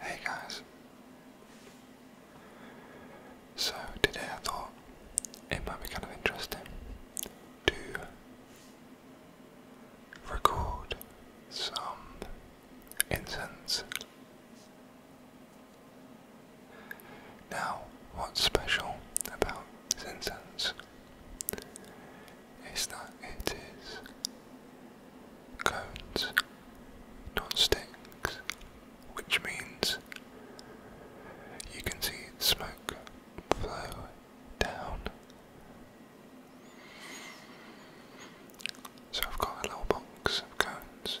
Hey guys. So today I thought it might be kind of interesting to record some incense. Now, what's special about incense is that it is cones, not sticks, which means you can see smoke flow down. So I've got a little box of cones.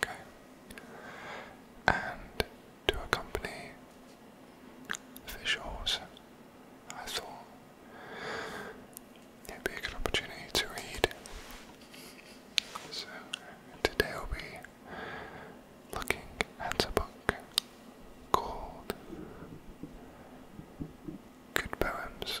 Okay. And to accompany the visuals, I thought it'd be a good opportunity to read. So today I'll be looking at a book called Good Poems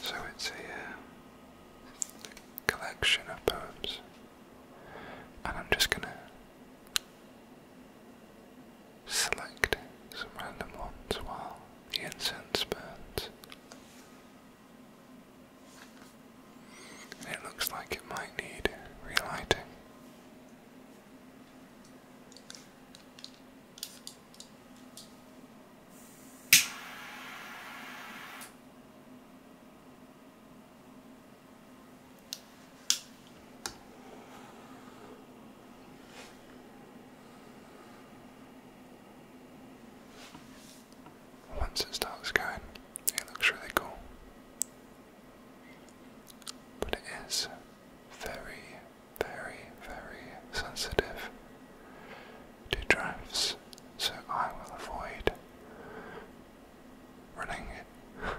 So it's a, uh, collection of poems, and I'm just going to Selecting some random ones while the incense burns. it looks like it might need relighting. Once this dog starts going, it looks really cool. But it is very, very, very sensitive to drafts, so I will avoid running it.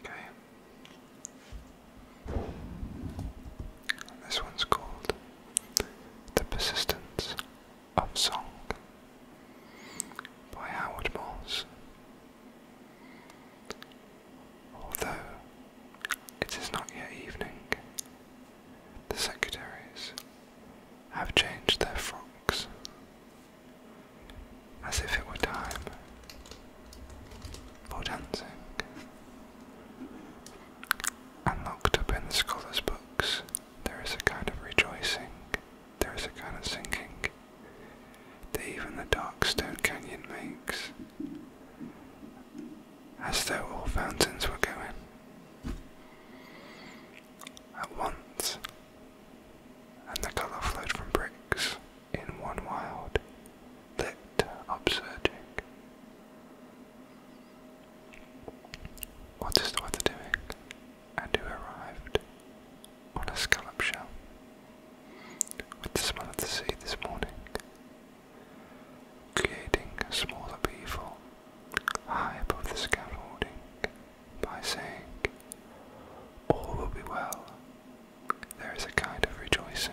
Okay. this one's called The Persistence of Song by Howard Morse. Although it is not yet evening, the secretaries have changed their frocks as if it were time for dancing, and locked up in the scholars' books, there is a kind of rejoicing, there is a kind of sinking that even the dark stone canyon makes, as though all fountains were going. At once and the colour flowed from bricks in one wild, lit upsurging. What is the weather doing? And who arrived? On a scallop shell. With the smell of the sea this morning. Creating a small upheaval high above the scaffolding by saying, All will be well, there is a kind of rejoicing.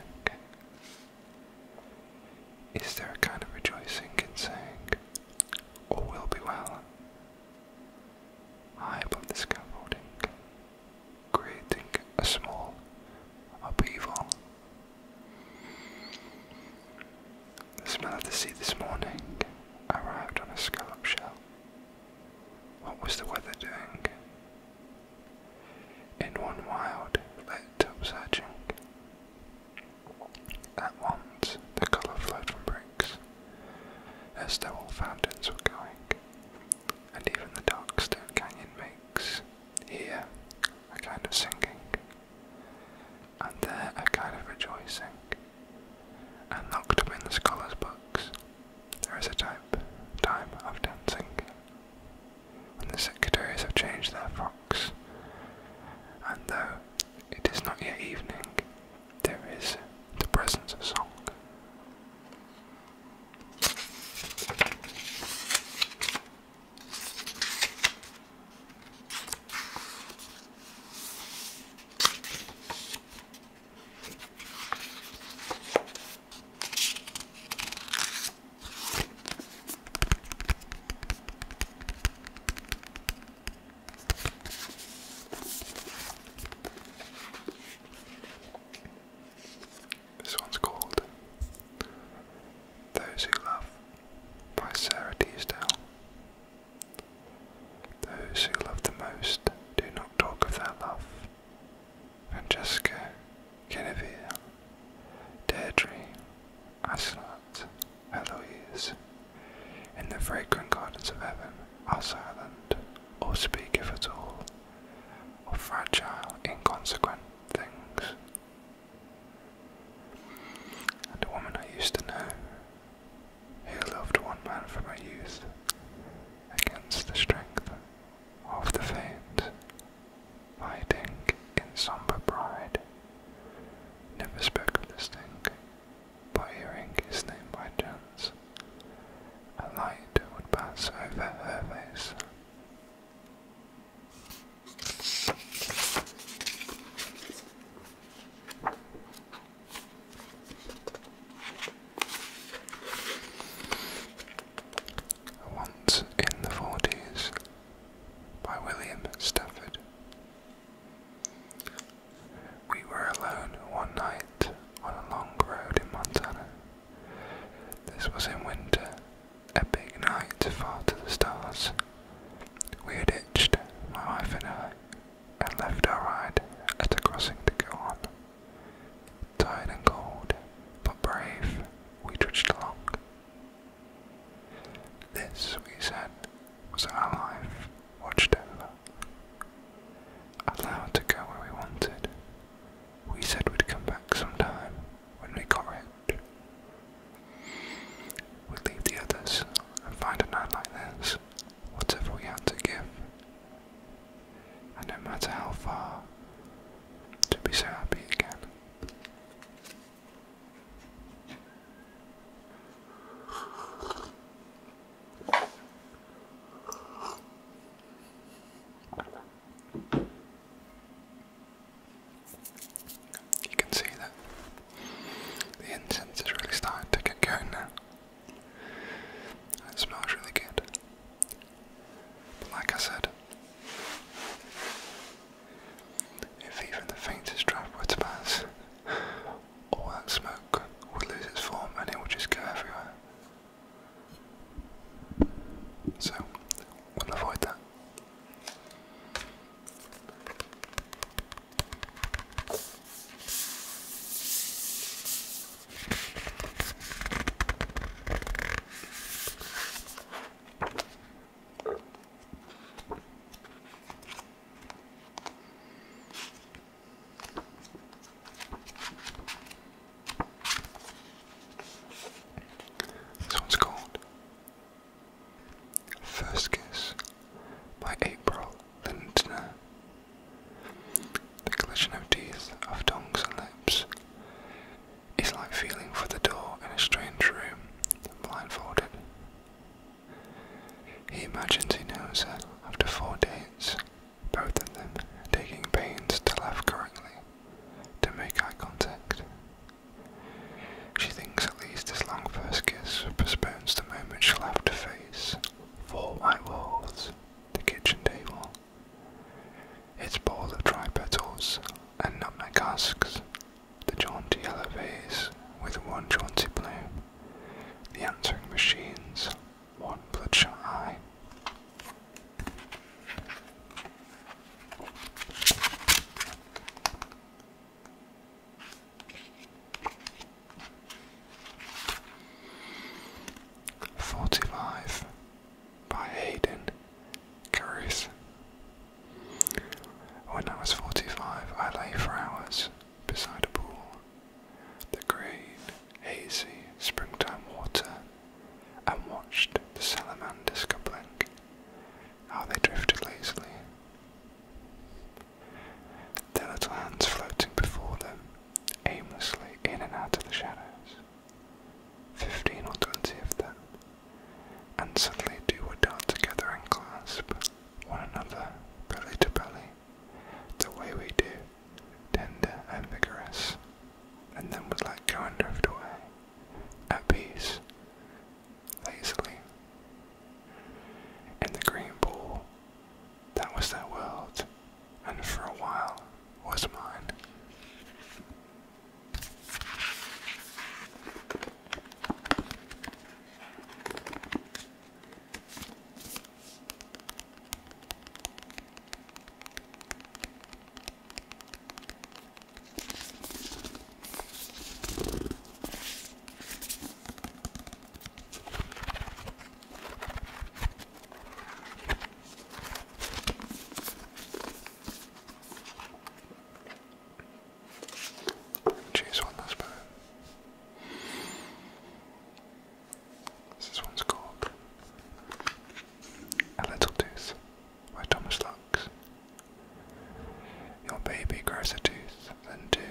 Is there a kind of rejoicing in saying, All will be well? High above the scaffolding, creating a small upheaval. The smell of the sea this morning arrived on a scallop shell. What was the weather doing? In one wild, lit upsurging. At once the colour flowed from bricks, as though all fountains were going, and even the dark stone canyon makes here a kind of singing and there a kind of rejoicing, and locked up in the scholars' books, there is a type, time of dancing. When the secretaries have changed their frocks, and though it is not yet evening, there is the presence of song. This one's called Those Who Love by Sarah Teasdale. Those who love the most do not talk of their love. Francesca, Genevieve, Deirdre, Asenat, Eloise, in the fragrant gardens of heaven are silent, or speak if at all, of fragile, inconsequent things. And woman I used to know, who loved one man from her youth, against the strength of the faint, fighting in sombre pride, never spoke of this thing, but hearing his name by chance, a light would pass over her face. Once in the Forties by William Stafford. We were alone one night on a long road in Montana. This was in winter, a big night far to the stars. We had hitched, my wife and I, and left our ride at the crossing to go on. Tired and cold, but brave, we trudged along. This, we said, was our life watched over. Allowed to go where we wanted. We said we'd come back sometime when we got rich, we leave the others and find a night like this, whatever we had to give. And no matter how far, to be so happy again. You can see that the incense is really starting to get going now. It smells really good. But like I said, if even the faintest draft were to pass, all that smoke would lose its form and it would just go everywhere. So, we'll avoid that. This one's called First Kiss by April Lindner. The collision of teeth, of tongues and lips, is like feeling for the door in a strange room, blindfolded. He imagines he knows her after four dates, both of them taking pains to laugh correctly, to make eye contact, she thinks at least this long first kiss postpones the moment she'll have to face four my walls, the kitchen table, its bowl of dry petals and nutmeg husks, the jaunty yellow vase with one jaunty bloom, the answering machines, one bloodshot eye. Forty-five by Hayden Curris. When I was forty-five, I lay for hours beside a pool. The green, hazy springtime water, and watched the salamander coupling how they drifted lazily. Their little hands floating before them, aimlessly in and out of the shadows. Fifteen or twenty of them, and suddenly two would dart together and clasp one another, belly to belly, the way we do, tender and vigorous, and then would let go and drift away, at peace, lazily. In the green pool, that was their world, and for a while was mine. Choose one, I suppose. This one's called A Little Tooth by Thomas Lux your baby grows a tooth, then two,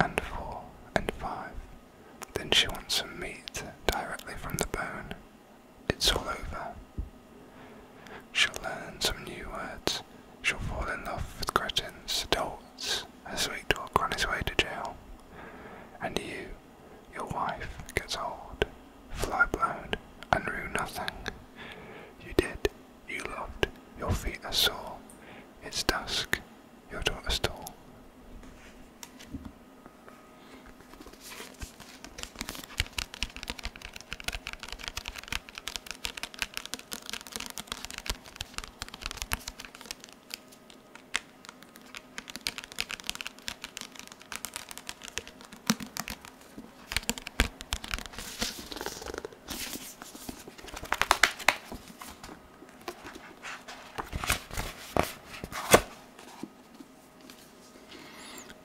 and four, and five. Then she wants some meat directly from the bone. It's all over. She'll learn some new words. She'll fall in love with cretins, adults. a sweet dog on his way to jail. And you, your wife, gets old fly blown, and rue nothing. You did, you loved, your feet are sore, it's dusk, your daughter stole.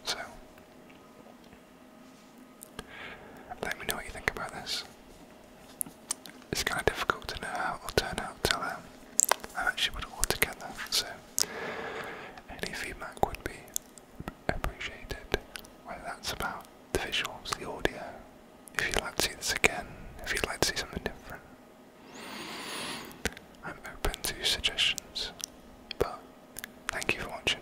So, let me know what you think about this. It's kind of difficult to know how it will turn out till I actually put it all together, so any feedback would be appreciated, whether that's about the visuals, the audio, if you'd like to see this again, if you'd like to see something different. I'm open to suggestions, but thank you for watching.